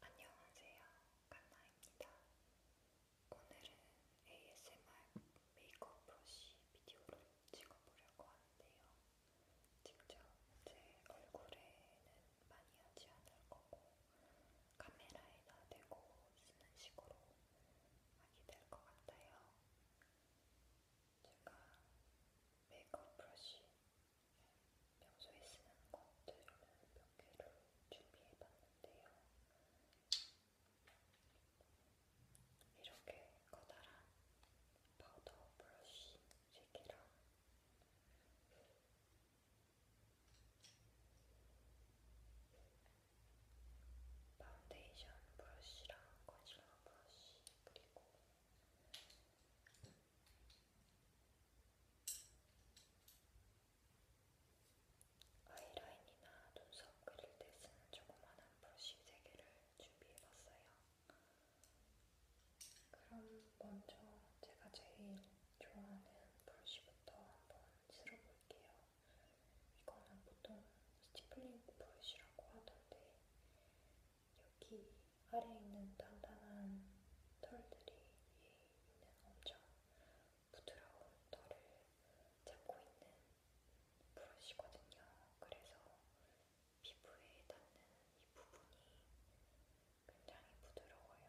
안녕하세요. 칸나입니다. 오늘은 ASMR 메이크업 브러쉬 비디오를 찍어보려고 하는데요. 직접 제 얼굴에는 많이 하지 않을 거고 카메라에다 대고 쓰는 식으로 하게 될것 같아요. 제가 메이크업 브러쉬 평소에 쓰는 것들을 몇 개를 준비해봤는데요. 이렇게 커다란 파우더 브러쉬 3개랑 파운데이션 브러쉬랑 컨실러 브러쉬 그리고 아이라인이나 눈썹 그릴 때 쓰는 조그만한 브러쉬 3개를 준비해봤어요. 그럼 먼저 제가 제일 좋아하는 브러쉬부터 한번 쓸어볼게요. 이거는 보통 스티플링 브러쉬라고 하던데 여기 아래에 있는 단단한 털들이 위에 있는 엄청 부드러운 털을 잡고 있는 브러쉬거든요. 그래서 피부에 닿는 이 부분이 굉장히 부드러워요.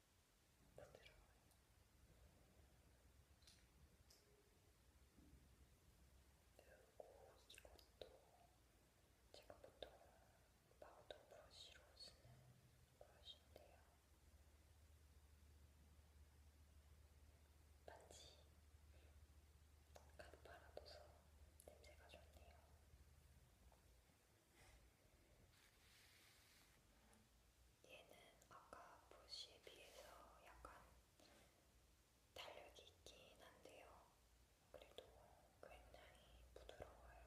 그리고 이것도 제가 보통 파우더 브러쉬로 쓰는 브러쉬인데요. 반지 가득 발라둬서 냄새가 좋네요. 얘는 아까 보시에 비해서 약간 탄력이 있긴 한데요. 그래도 굉장히 부드러워요.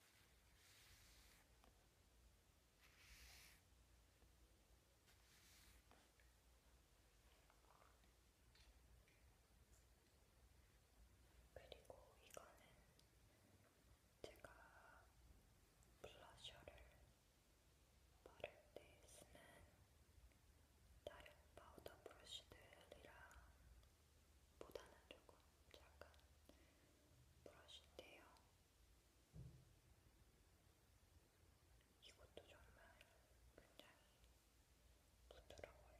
그리고 이거는 제가 블러셔를 바를 때 쓰는 다른 파우더 브러쉬들이랑 보다는 조금 작은 브러쉬인데요. 이것도 정말 굉장히 부드러워요.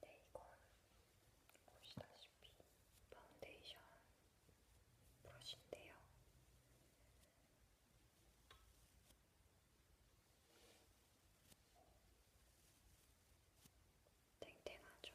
네, 이건 보시다시피 파운데이션 브러쉬인데요. 탱탱하죠?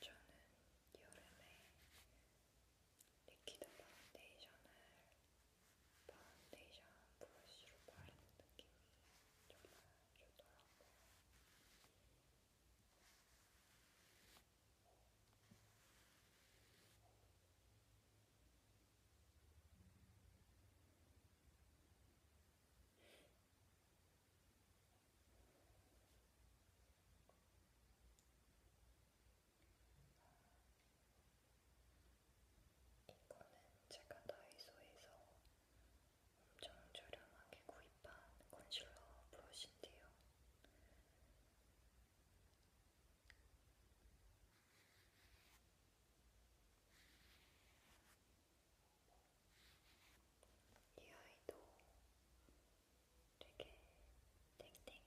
저는 여름에 리퀴드 파운데이션을 파운데이션 브러쉬로 바르는 느낌이 정말 주더라고요. 이거는 제가 다이소에서 엄청 저렴하게 구입한 컨실러 브러쉬인데요. 이 아이도 되게 땡땡해요.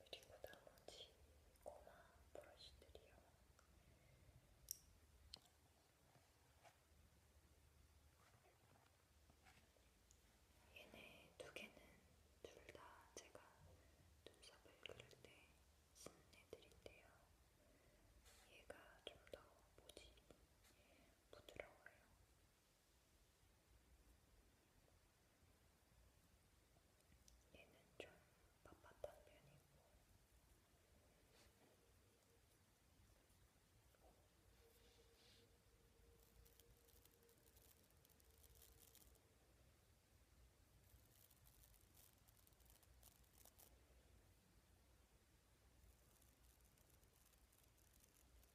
그리고 나머지 고마 브러쉬들이요. 얘네 두 개는 둘 다 제가 눈썹을 그릴 때 쓰는 애들인데요. 얘가 좀 더 뭐지? 부드러워요. 얘는 좀 빳빳한 편이고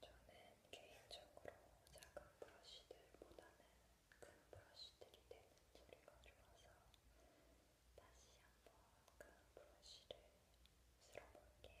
저는 개인적으로 작은 브러쉬들보다는 큰 브러쉬들이 되는 소리가 좋아서 다시 한 번 그 브러쉬를 쓸어볼게요. 자,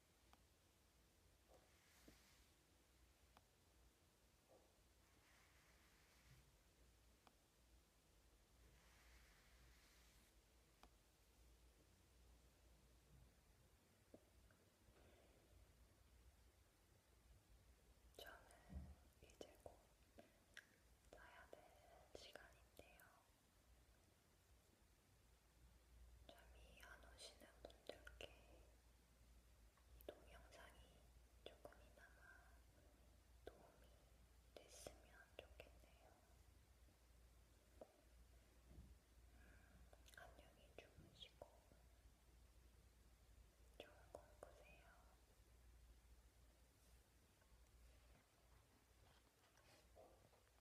저는 이제 곧 자야 될 시간인데요. 잠이 안 오시는 분들께 이 동영상이 조금이나마 도움이 됐으면 좋겠네요. 음, 안녕히 주무시고 좋은 꿈 꾸세요.